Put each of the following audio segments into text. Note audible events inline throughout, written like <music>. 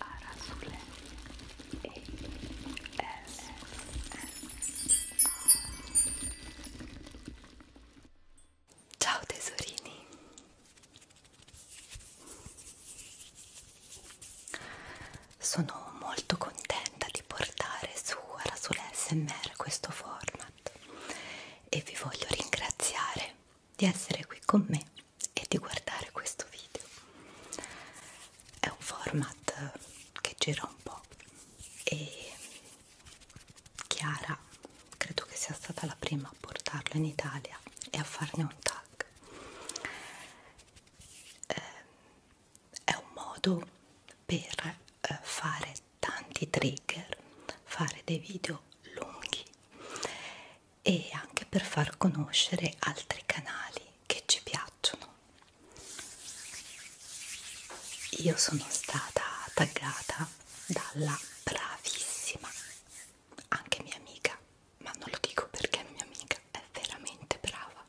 Arasule e S Ciao tesorini Sono molto contenta di portare su Arasule SMR questo format e vi voglio ringraziare di essere qui con me e di guardare questo video. È un format che gira un po' e Chiara credo che sia stata la prima a portarlo in Italia e a farne un tag. Eh, è un modo per eh, fare tanti trigger, fare dei video lunghi e anche per far conoscere altri canali che ci piacciono. Io sono stata taggata dalla bravissima, anche mia amica, ma non lo dico perché mia amica è veramente brava,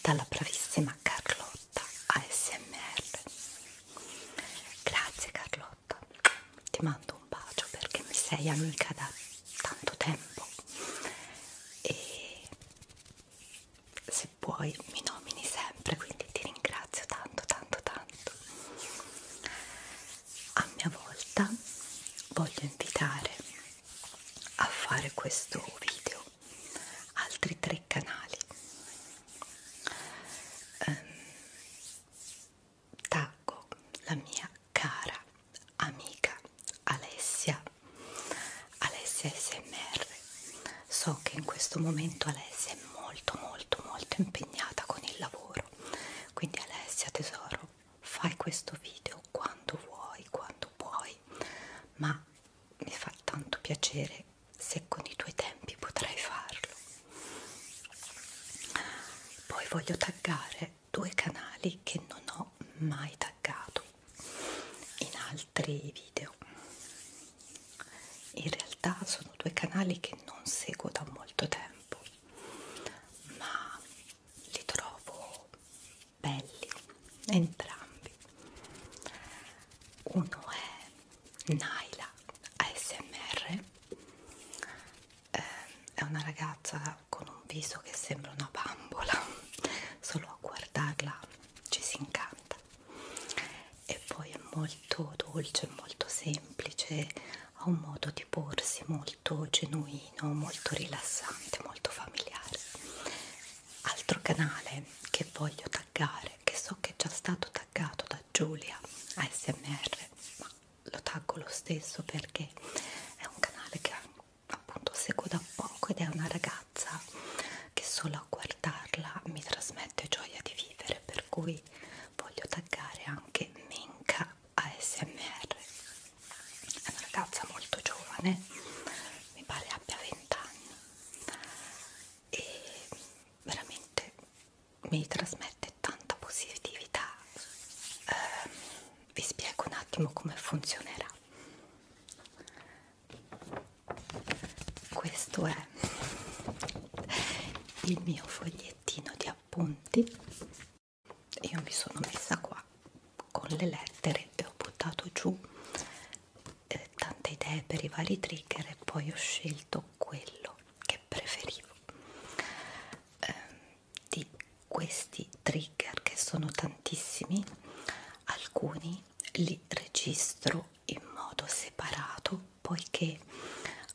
dalla bravissima Carlotta ASMR. Grazie Carlotta. Carlotta ecco. ti mando un bacio perché mi sei amica da tanto tempo e se puoi mi nomini sempre quindi ti ringrazio tanto tanto tanto a mia volta voglio invitare a fare questo video altri tre canali um, taggo la mia cara amica Alessia Alessia SMR so che in questo momento Alessia è molto molto molto impegnata con il lavoro quindi Alessia tesoro fai questo video quando vuoi quando puoi ma mi fa tanto piacere se con i tuoi tempi potrai farlo poi voglio taggare due canali che non ho mai taggato in altri video in realtà sono due canali che non seguo da molto tempo ma li trovo belli entrambi uno è Naila ASMR eh, è una ragazza bionda con un viso che sembra una bambola <laughs> solo a guardarla ci si incanta e poi è molto dolce, molto semplice ha un modo di porsi molto genuino, molto rilassante, molto familiare altro canale che voglio taggare che so che è già stato taggato da Giulia ASMR ma lo taggo lo stesso perché è un canale che appunto seguo da poco ed è una ragazza che solo a guardarla mi trasmette gioia di vivere per cui voglio taggare anche Minka ASMR è una ragazza molto giovane mi pare abbia 20 anni e veramente mi trasmette veramente tanta positività eh, vi spiego un attimo come funzionerà questo è il mio fogliettino di appunti io mi sono messa qua con le lettere e ho buttato giù eh, tante idee per i vari trigger e poi ho scelto quello che preferivo eh, di questi trigger che sono tantissimi alcuni li registro in modo separato poiché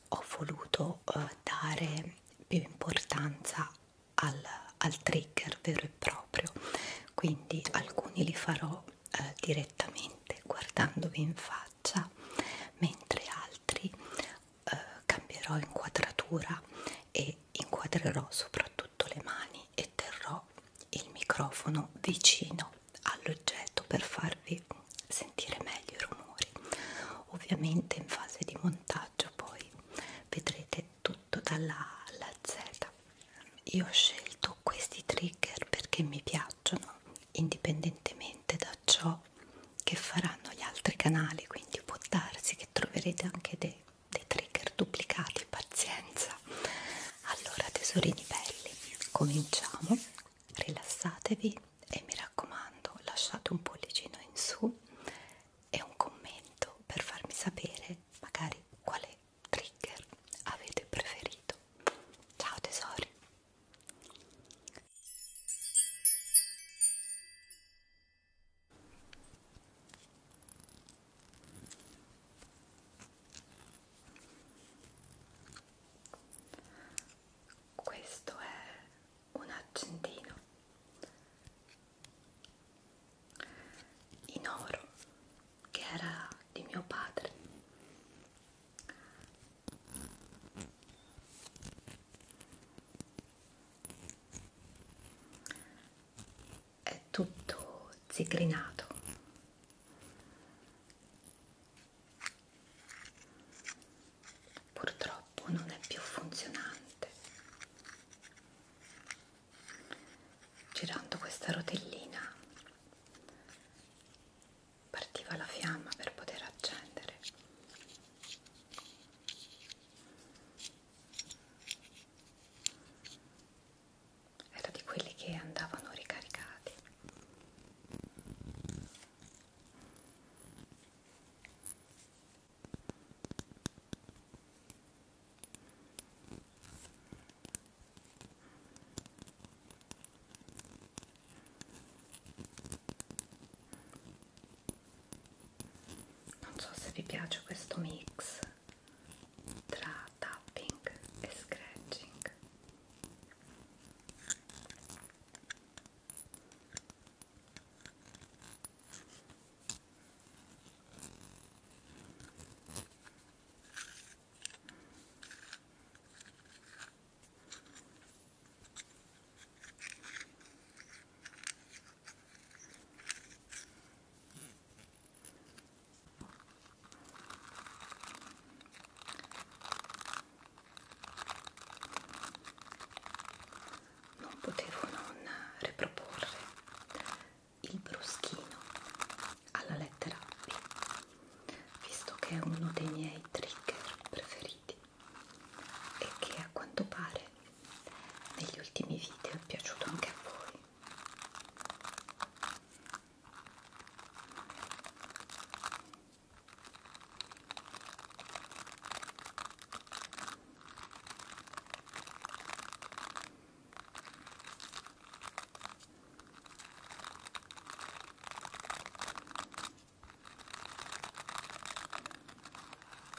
ho voluto eh, dare più importanza al, al trigger vero e proprio quindi alcuni li farò eh, direttamente guardandovi in faccia mentre altri eh, cambierò inquadratura e inquadrerò soprattutto le mani e terrò il microfono vicino all'oggetto per farvi sentire meglio i rumori ovviamente in fase di montaggio poi vedrete tutto dalla A alla Z io ho scelto questi trigger perché mi piacciono indipendentemente da ciò che faranno gli altri canali quindi può darsi che troverete anche dei, dei trigger duplicati pazienza allora tesorini belli cominciamo rilassatevi e mi raccomando lasciate un pollicino in su e un commento per farmi sapere magari quale trigger avete preferito ciao tesori questo è un argentino in oro che era di mio padre è tutto zigrinato purtroppo non è più funzionante girando questa rotellina partiva la fiamma per poter accendere era di quelli che andavano ricaricati non so se vi piace questo mix tra tapping e scratching non potevo non riproporre il bruschino alla lettera B visto che è uno dei miei trigger preferiti e che a quanto pare commentate negli ultimi video, è piaciuto anche a voi.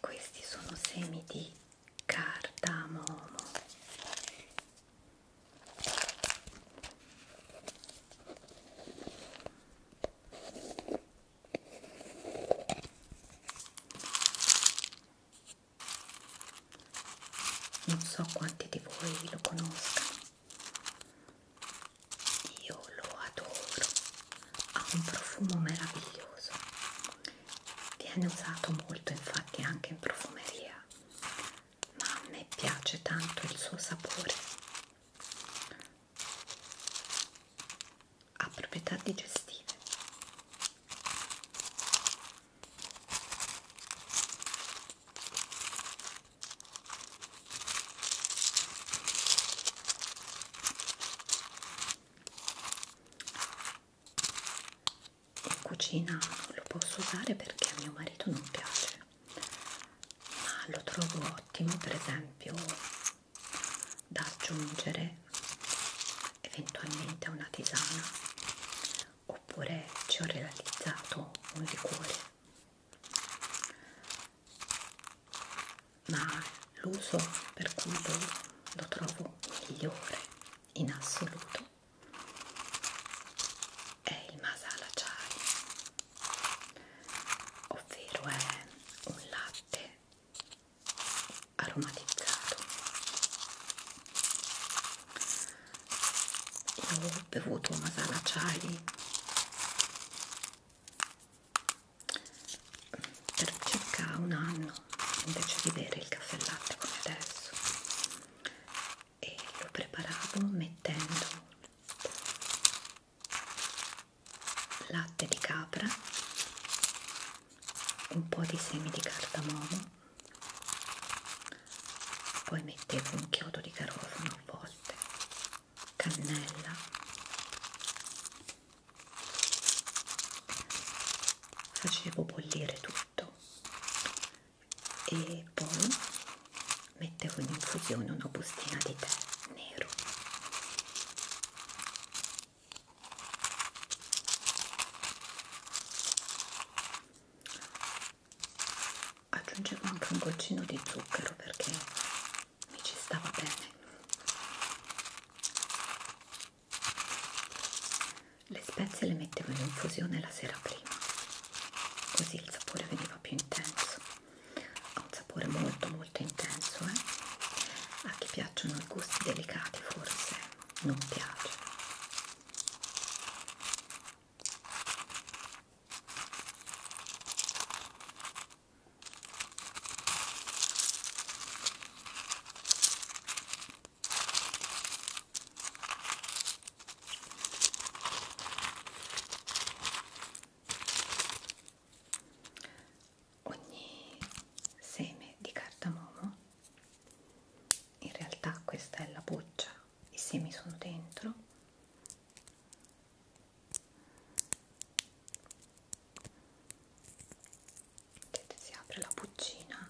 Questi sono semi di cardamomo. Non so quanti di voi lo conoscano, io lo adoro ha un profumo meraviglioso viene usato molto infatti anche in profumeria ma a me piace tanto il suo sapore ha proprietà digestive in cucina non lo posso usare perché a mio marito non piace ma lo trovo ottimo per esempio da aggiungere eventualmente a una tisana oppure ci ho realizzato un liquore ma l'uso per cui lo trovo migliore in assoluto è il masala chai ovvero è un latte aromatizzato io ho bevuto masala chai per circa un anno invece di bere il caffè latte come adesso e lo preparavo mettendo latte di capra un po' di semi di cardamomo poi mettevo un chiodo di garofano a volte cannella facevo bollire tutto e poi mettevo in infusione una bustina di tè nero aggiungevo anche un goccino di zucchero perché mi ci stava bene le spezie le mettevo in infusione la sera prima così il sapore veniva più intenso ha un sapore molto molto intenso eh? a chi piacciono i gusti delicati forse non piace Ogni seme di cardamomo, in realtà questa è la buccia, i semi sono dentro vedete si apre la buccina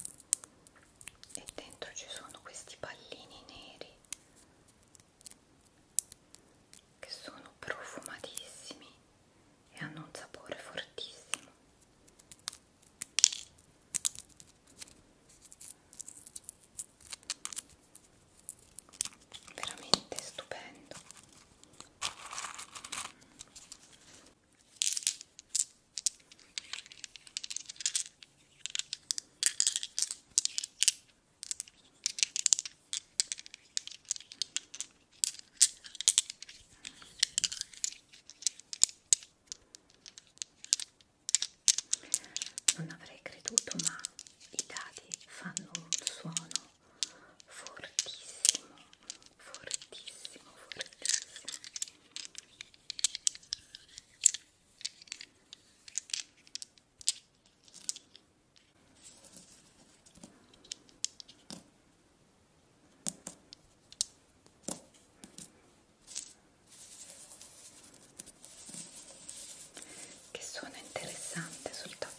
e dentro ci sono questi pallini neri che sono profumatissimi e hanno un sapore fortissimo veramente stupendo non avrei creduto ma i dadi fanno un suono fortissimo, fortissimo, fortissimo che suona interessante sul tappetino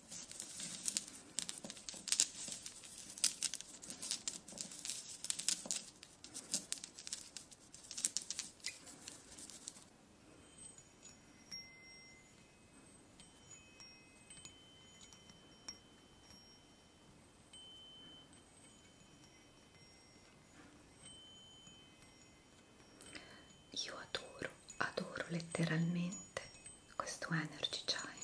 Io adoro, adoro letteralmente questo energy chime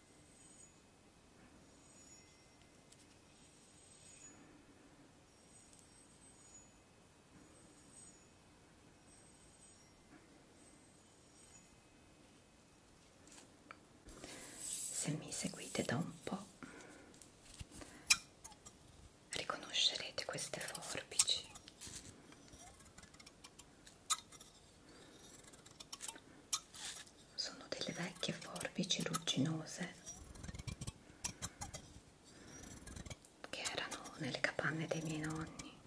Se mi seguite da un po' riconoscerete queste forbici sono delle vecchie forbici rugginose che erano nelle capanne dei miei nonni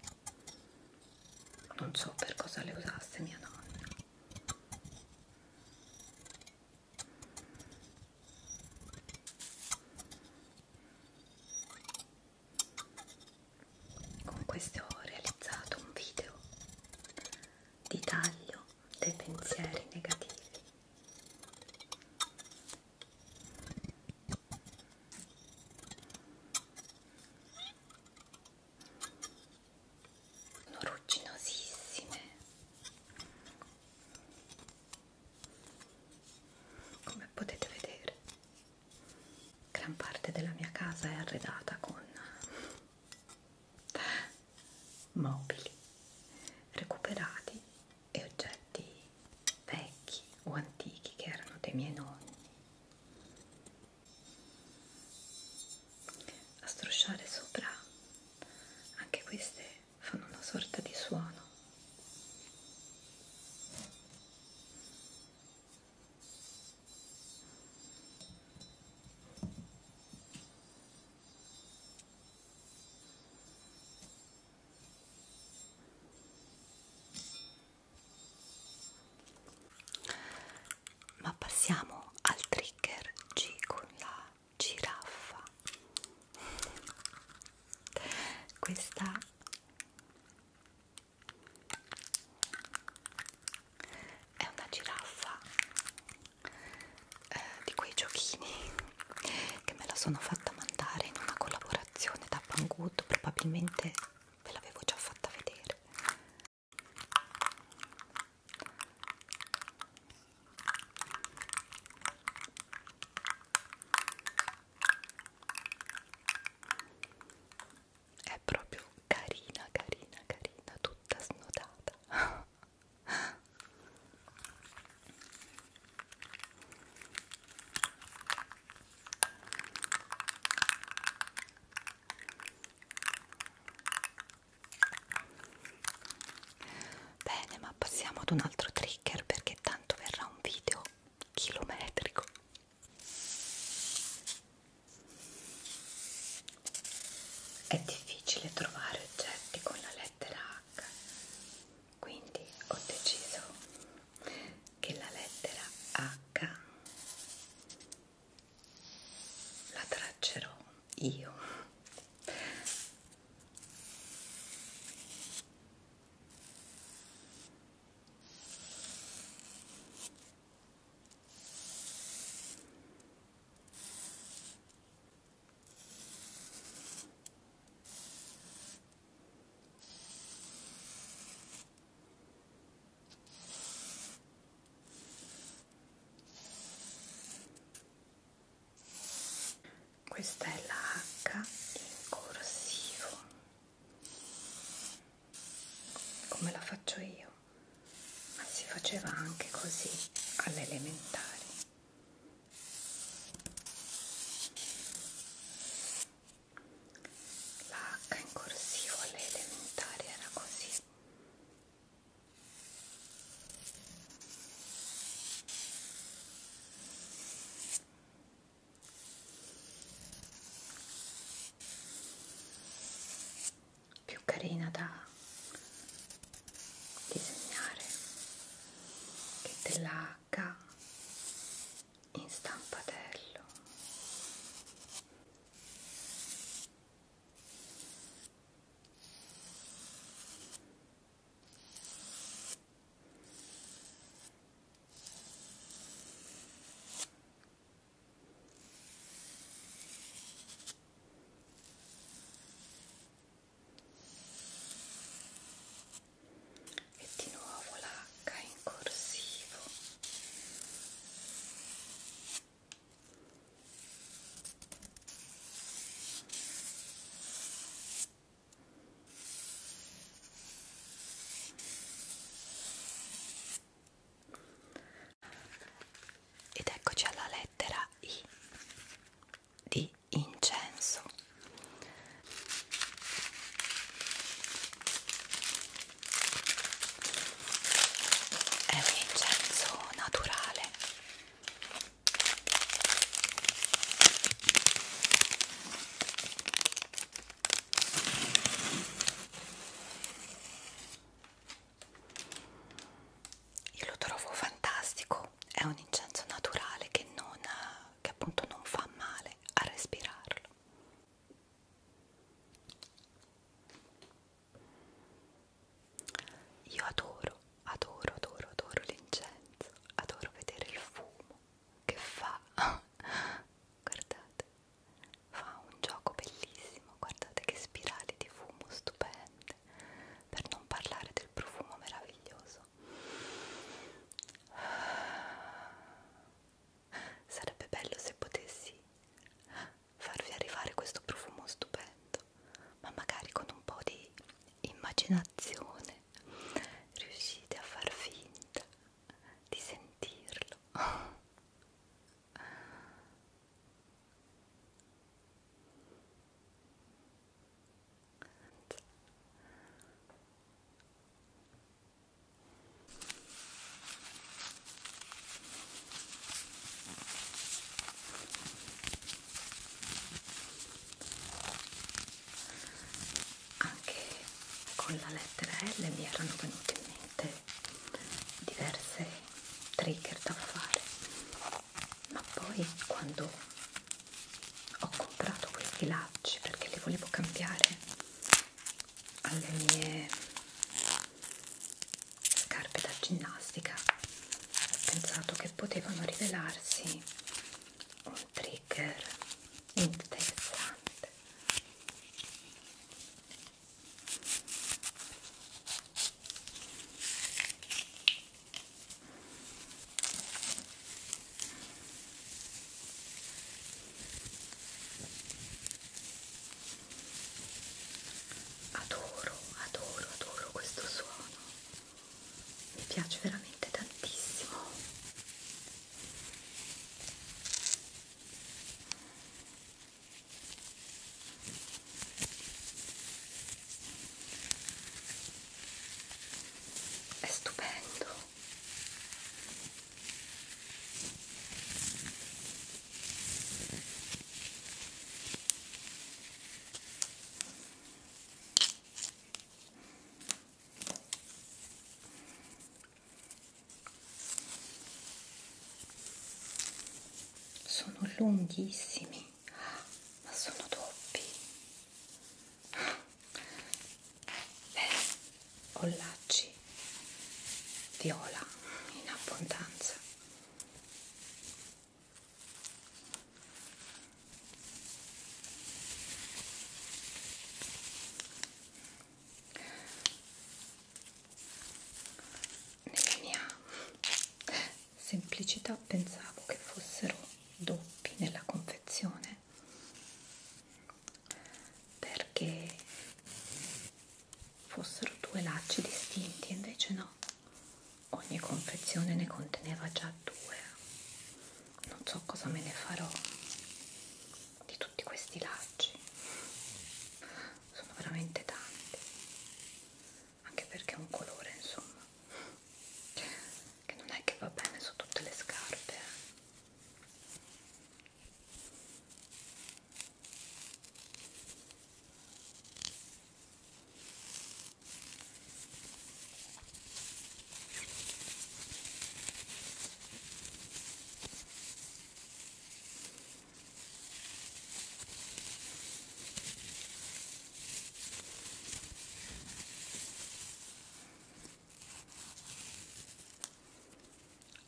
non so per cosa le usasse mia nonna con queste ho realizzato un video di taglio dei pensieri negativi. Sono rugginosissime come potete vedere gran parte della mia casa è arredata con mobili recuperati e oggetti vecchi o antichi che erano dei miei nonni. A strusciare sopra anche queste fanno una sorta di suono. Ma passiamo al trigger G con la giraffa. Questa è una giraffa eh, di quei giochini che me la sono fatta mandare in una collaborazione da Banggood probabilmente ve l'avevo già fatta vedere è proprio carina carina carina tutta snodata puntata bene ma passiamo ad un altro trigger perché tanto verrà un video chilometrico è difficile trovare oggetti con la lettera H, quindi ho deciso che la lettera H la traccerò io. Questa è la H in corsivo, come la faccio io ma si faceva anche così alle elementari la H in corsivo alle elementari era così più carina da disegnare che della H in stampatello e di nuovo l'H in corsivo e ed eccoci alla lettera I di incenso. È un incenso naturale io lo trovo fantastico è un incenso naturale che non che appunto non fa male a respirarlo io adoro adoro adoro adoro l'incenso adoro vedere il fumo che fa <laughs> guardate fa un gioco bellissimo guardate che spirali di fumo stupende per non parlare del profumo meraviglioso. Sarebbe bello se potessi farvi arrivare questo profumo stupendo, ma magari con un po' di immaginazione riuscite a far finta di sentirlo. Anche con la lettera L mi erano venute in mente diverse trigger da fare ma poi quando ho comprato questi lacci perché li volevo cambiare alle mie scarpe da ginnastica ho pensato che potevano rivelarsi un trigger interessante Adoro, adoro, adoro questo suono. Mi piace veramente tantissimo è stupendo sono lunghissimi ma sono doppi bene ollacci viola in abbondanza nella mia semplicità pensavo che fossero doppi nella confezione perché fossero due lacci distinti invece no ogni confezione ne conteneva già due non so cosa me ne farò di tutti questi lacci sono veramente tanti anche perché è un colore insomma che non è che va bene su tutte le scarpe eh.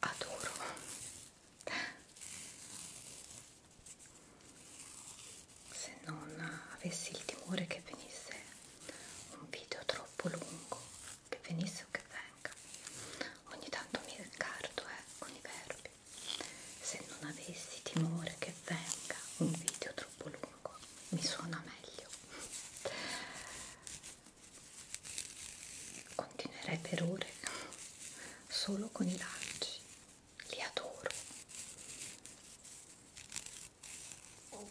Adoro. Se non avessi il timore che venisse un video troppo lungo, che venisse o che venga, ogni tanto mi incarto eh, con i verbi se non avessi timore che venga un video troppo lungo mi suona meglio continuerei per ore solo con i lacci li adoro oh.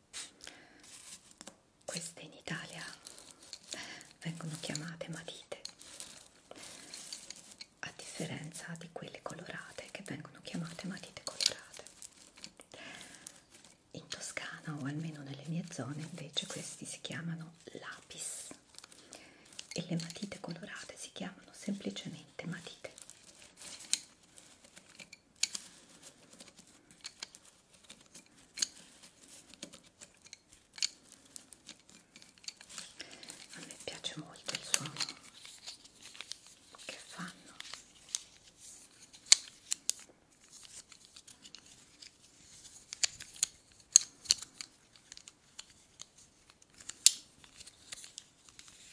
queste in Italia vengono chiamate matite a differenza di quelle colorate che vengono chiamate matite colorate in Toscana o almeno nelle mie zone invece questi si chiamano lapis e le matite colorate si chiamano semplicemente matite a me piace molto il suono che fanno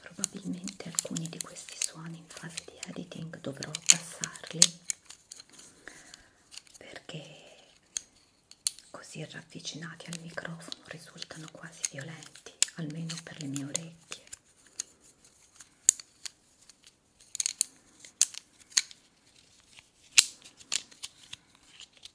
probabilmente alcuni di questi suoni in fase di editing dovrò passarli perché così ravvicinati al microfono risultano quasi violenti almeno per le mie orecchie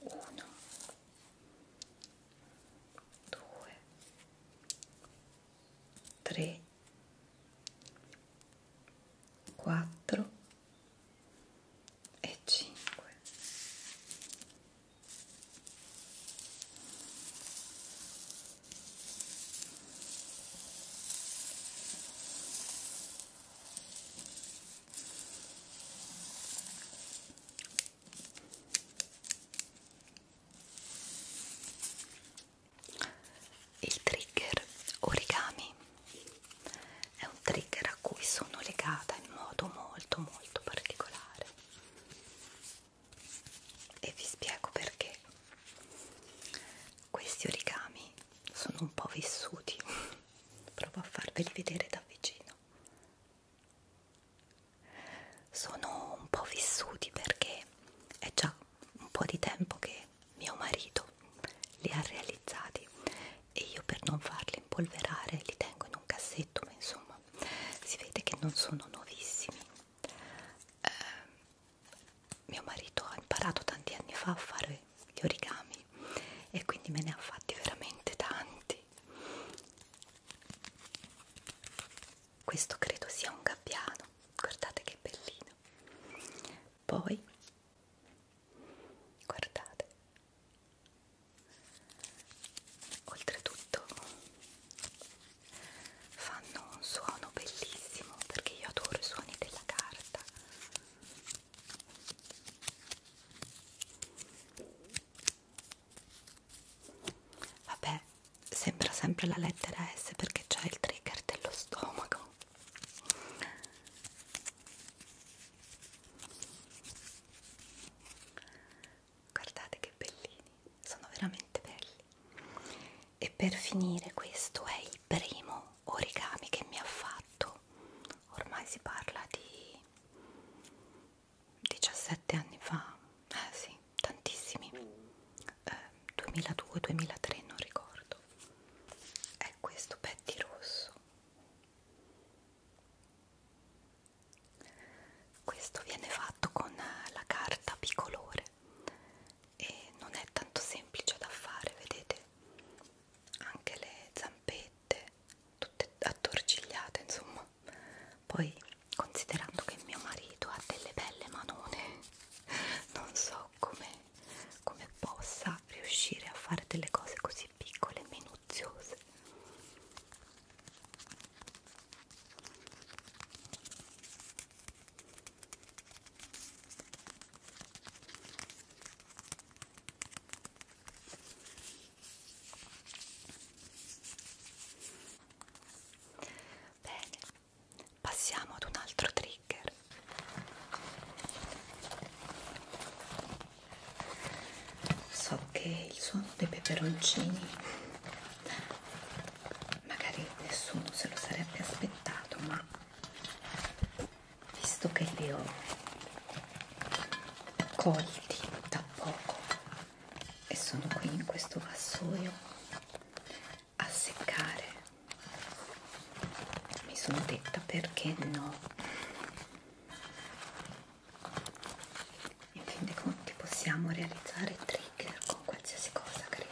uno, due, tre, quattro e cinque. Il trigger origami è un trigger a cui sono legata in modo molto molto particolare e vi spiego perché. Questi origami sono un po' vissuti, <laughs> provo a farveli vedere da vicino sono un po' vissuti perché è già un po' di tempo che mio marito li ha realizzati e io per non farli impolverare li tengo in un cassetto ma insomma si vede che non sono nuovissimi eh, mio marito ha imparato tanti anni fa a fare gli origami e quindi me ne ha fatti veramente tanti vedi questo credo sia un gabbiano guardate che bellino poi guardate oltretutto fanno un suono bellissimo perché io adoro i suoni della carta Vabbè, sembra sempre la lettera S perché c'è il trigger dello stomaco. Guardate che bellini, sono veramente belli. E per finire questo è il primo origami che mi ha fatto. Ormai si parla di 17 anni fa, eh sì, tantissimi, eh, 2002-2003 non ricordo, è questo Betty Rosso. Questo viene fatto con la carta bicolore e non è tanto semplice da fare, vedete? Anche le zampette tutte, tutte attorcigliate insomma poi considerando che mio marito ha delle belle manone <laughs> non so come, come possa riuscire a fare delle cose così piccole e minuziose Bene, passiamo ad un altro trigger. So che il suono dei peperoncini magari nessuno se lo sarebbe aspettato, ma visto che li ho colti da poco e sono qui in questo vassoio a seccare mi sono detta perché no in fin dei conti possiamo realizzare trigger con qualsiasi cosa credo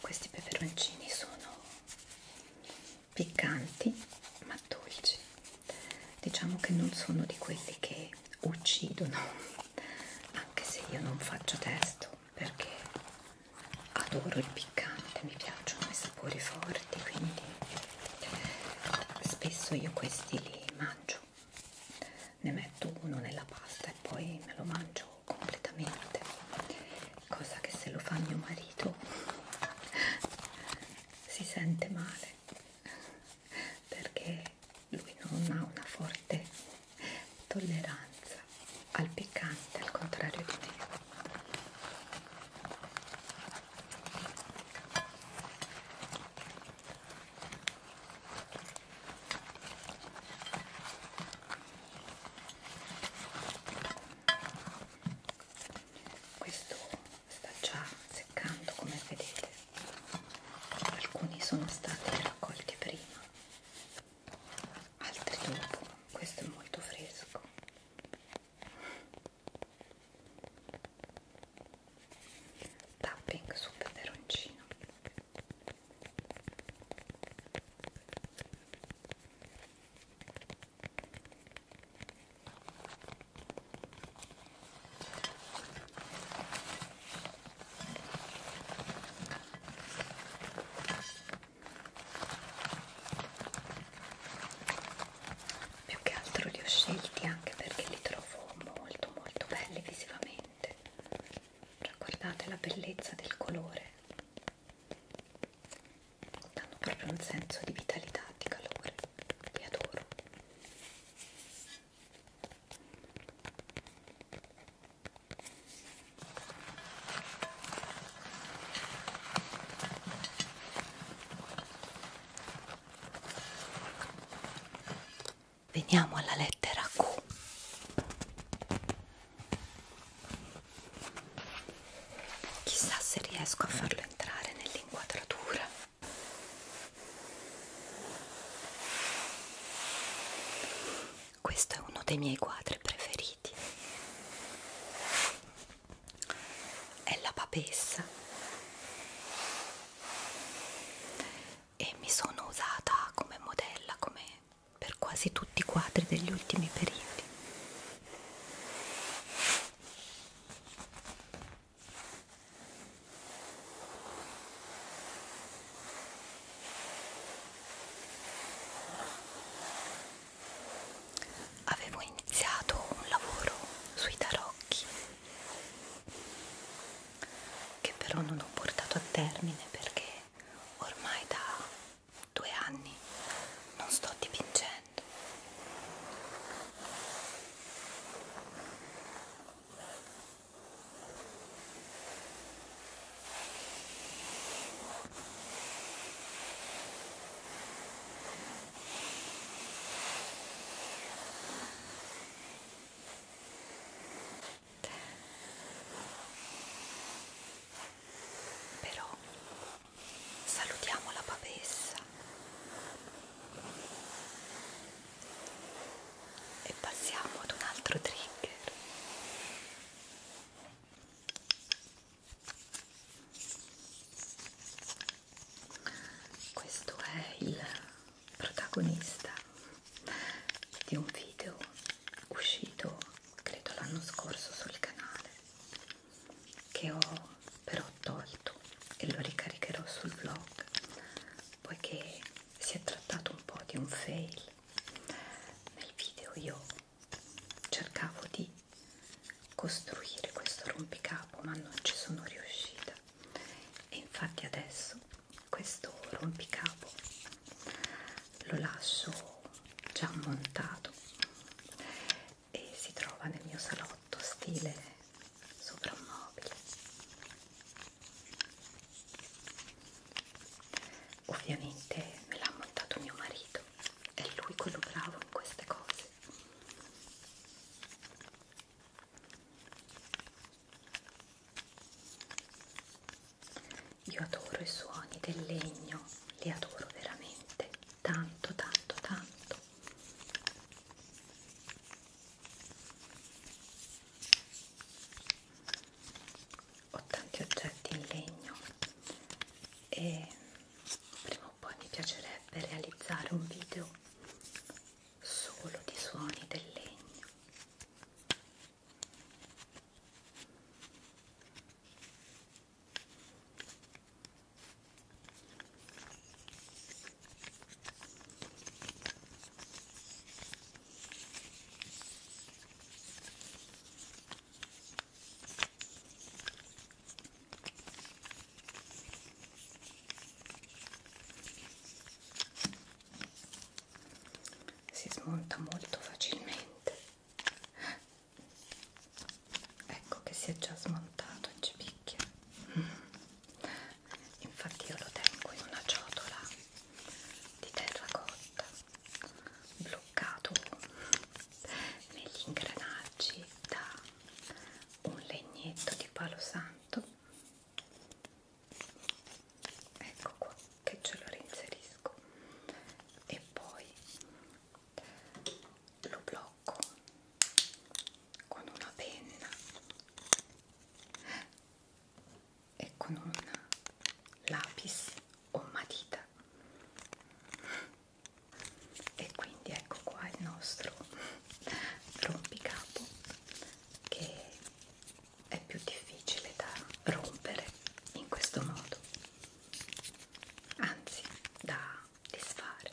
questi peperoncini sono piccanti ma dolci, diciamo che non sono di quelli che uccidono anche se io non faccio testo perché adoro il piccante, mi piacciono i sapori forti, quindi spesso io questi li mangio, ne metto uno nella pasta e poi me lo mangio completamente, cosa che se lo fa mio marito <laughs> si sente male perché lui non ha una forte tolleranza al piccante, al contrario di me. Questo sta già seccando come vedete alcuni sono stati raccolti prima altri dopo questo è molto fresco tapping su peperoncino più che altro li ho scelti anche perché li trovo molto molto belli visivamente cioè guardate la bellezza del colore danno proprio un senso di vitalità di calore li adoro Veniamo alla lettera Q. Chissà se riesco a farlo entrare nell'inquadratura. Questo è uno dei miei quadri preferiti. È la papessa e mi sono usata come modella come per quasi tutti i quadri degli ultimi periodi. Avevo iniziato un lavoro sui tarocchi che però non ho portato a termine perché ormai da due anni non sto dipingendo. Però salutiamo la papessa e passiamo ad un altro trigger questo è il protagonista di un video uscito credo l'anno scorso sul canale che ho però tolto e lo ricaricherò sul vlog poiché si è trattato un po' di un fail. Nel video io cercavo di costruire questo rompicapo ma non ci sono riuscita e infatti adesso questo rompicapo lo lascio già montato e si trova nel mio salotto stile soprammobile Ovviamente me l'ha montato mio marito, è lui quello bravo in queste cose. Io adoro i suoni del legno, li adoro veramente, tanto, tanto, tanto ho tanti oggetti in legno e prima o poi mi piacerebbe realizzare un video solo di suoni del legno si smonta molto facilmente ecco che si è già smontato e ci picchia infatti io lo tengo in una ciotola di terracotta bloccato negli ingranaggi da un legnetto di palo santo ecco qua che ce lo reinserisco e poi lo blocco con una penna e con un lapis o matita e quindi ecco qua il nostro rompicapo che è più difficile da rompere in questo modo anzi da disfare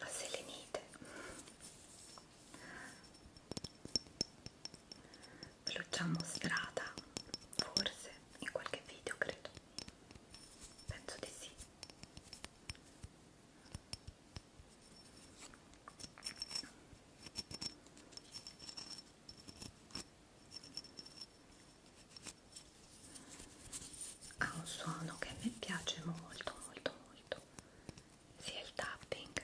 la selenite ve l'ho già mostrata forse in qualche video credo penso di sì ha un suono che a me piace molto molto molto sia il tapping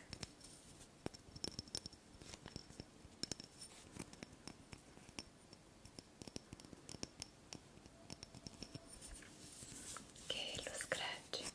che lo scratching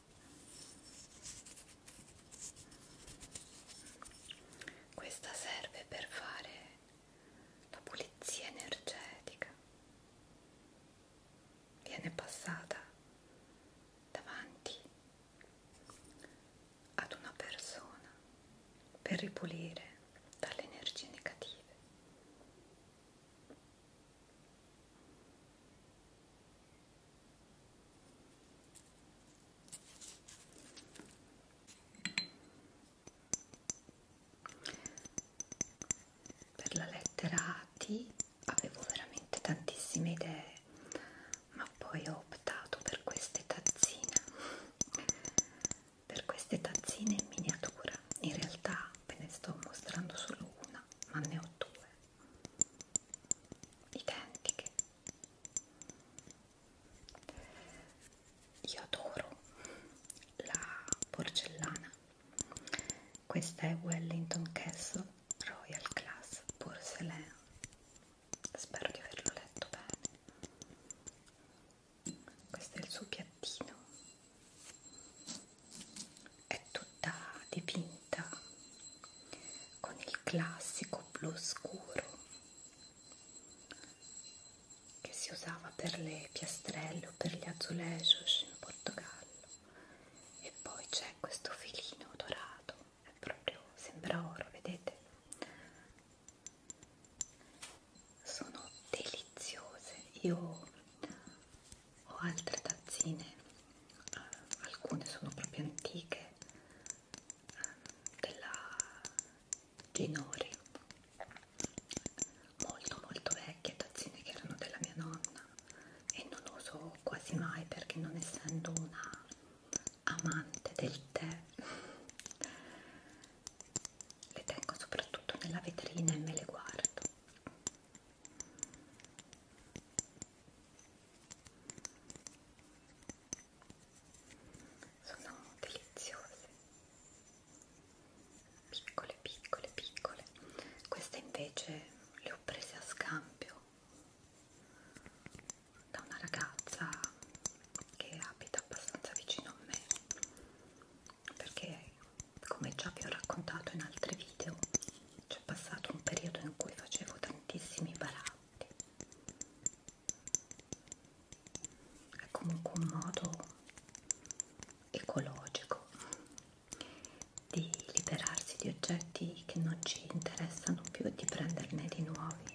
Questa serve per fare la pulizia energetica. Viene passata davanti ad una persona per ripulire dalle energie negative. Per la lettera T avevo veramente tantissime idee, ma poi ho optato per queste tazzine, per queste tazzine in miniatura. In realtà ve ne sto mostrando solo una, ma ne ho due identiche io adoro la porcellana questa è Wellington Castle Royal Class Porcelain spero di averlo letto bene questo è il suo piattino è tutta dipinta con il classico blu scuro che si usava per le piastrelle o per gli azulejos in Portogallo e poi c'è questo filino dorato è proprio sembra oro vedete sono deliziose io ho altre tazzine, eh, alcune sono proprio antiche, eh, della Ginori, molto molto vecchie, tazzine che erano della mia nonna e non uso quasi mai perché non essendo una amante del tè le tengo soprattutto nella vetrina e me le guardo sono deliziose piccole piccole piccole queste invece le ho prese a scambio da una ragazza che abita abbastanza vicino a me perché come già vi ho raccontato in altri video c'è passato un periodo in cui facevo tantissimi baratti è comunque un modo ecologico di liberarsi di oggetti che non ci interessano più e di prenderne di nuovi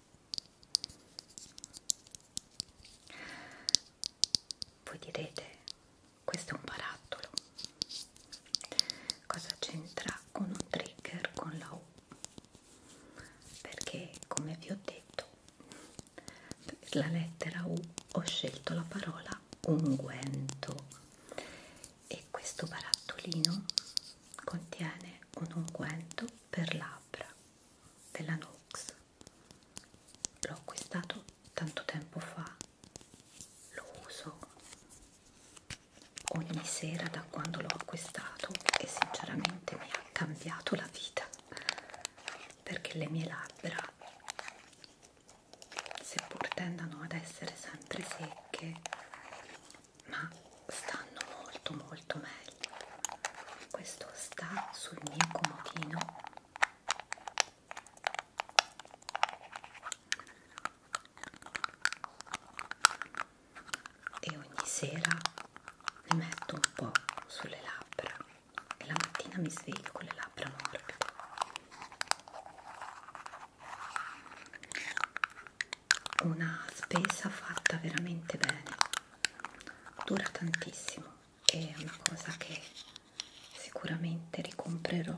Voi direte, questo è un barattolo, cosa c'entra con un trigger con la U? Perché come vi ho detto, per la lettera U ho scelto la parola unguento e questo barattolino contiene un unguento per labbra della Nox l'ho acquistato tanto tempo fa lo uso ogni sera da quando l'ho acquistato e sinceramente mi ha cambiato la vita perché le mie labbra seppur tendano ad essere sempre secche ma stanno molto molto molto meglio questo sta sul mio comodino e ogni sera ne metto un po' sulle labbra e la mattina mi sveglio con le labbra morbide una spesa fatta veramente bene dura tantissimo è una cosa che sicuramente ricomprerò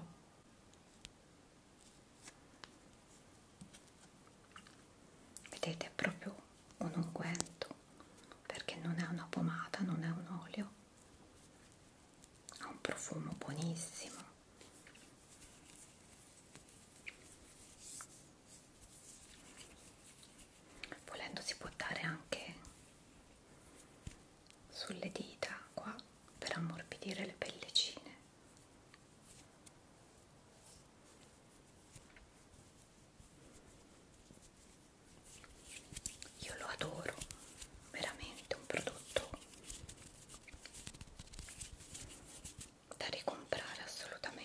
vedete è proprio un unguento perché non è una pomata non è un olio ha un profumo buonissimo volendo si può dare anche sulle dita qua per ammorbidire le pellicine io lo adoro veramente un prodotto da ricomprare assolutamente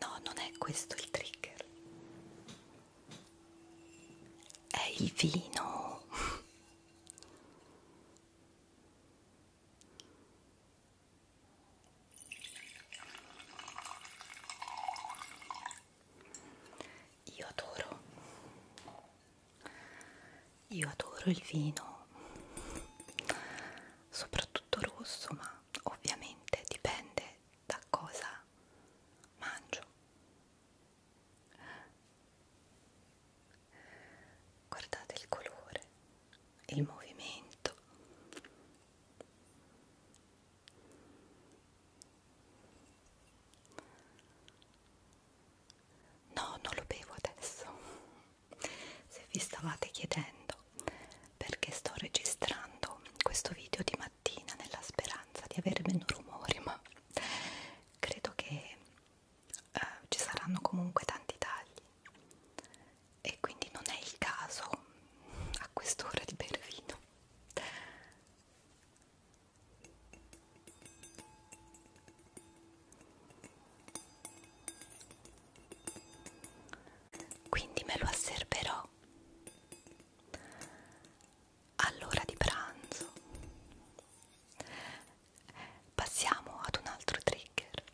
No, non è questo il trigger. È il vino. Io adoro, io adoro il vino, soprattutto rosso, ma ovviamente dipende da cosa mangio. Guardate il colore, il movimento. No, non lo bevo adesso. Se vi stavate chiedendo perché sto registrando questo video di mattina nella speranza di avere meno rumori, ma credo che eh, ci saranno comunque tanti tagli e quindi non è il caso a quest'ora di bere vino quindi me lo asserverò all'ora di pranzo passiamo ad un altro trigger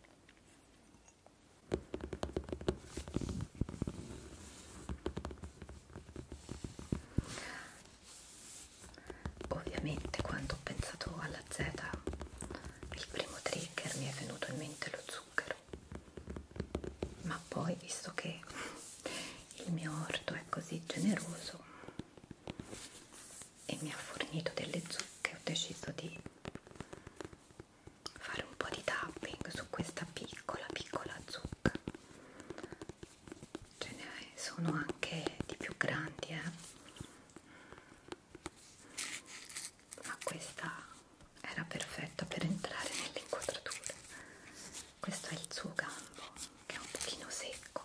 Ovviamente quando ho pensato alla Z il primo trigger mi è venuto in mente lo zucchero, ma poi visto che il mio orto è così generoso e mi ha fornito delle zucche ho deciso di fare un po' di tapping su questa piccola piccola zucca ce ne sono anche di più grandi eh? ma questa era perfetta per entrare nelle inquadrature questo è il suo gambo che è un pochino secco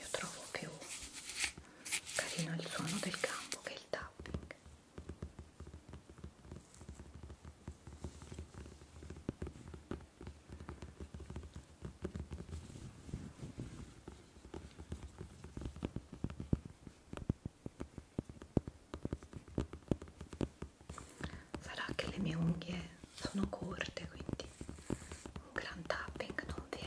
io trovo più carino il suono del campo che il tapping sarà che le mie unghie sono corte quindi un gran tapping non viene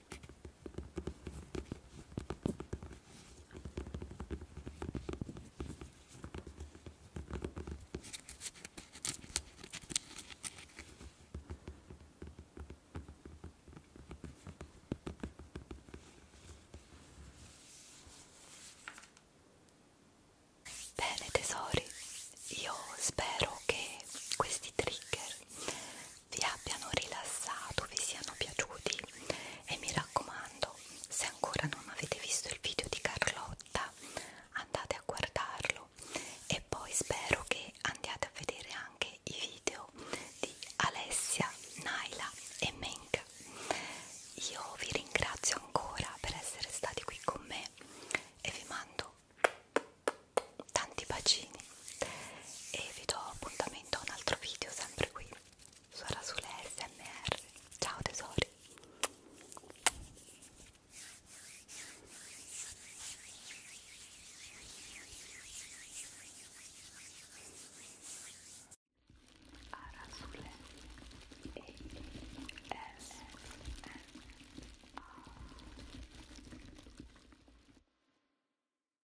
Bene tesori, io spero che questi trigger vi abbiano rilassato, vi siano piaciuti e mi raccomando, se ancora non avete visto il video di Carlotta, andate a guardarlo e poi spero che andiate a vedere anche i video di Alessia, Naila e Menk. Io vi ringrazio ancora per essere stati qui con me e vi mando tanti bacini e vi do appuntamento a un altro video sempre qui sarà sulle smr ciao tesori Arasule e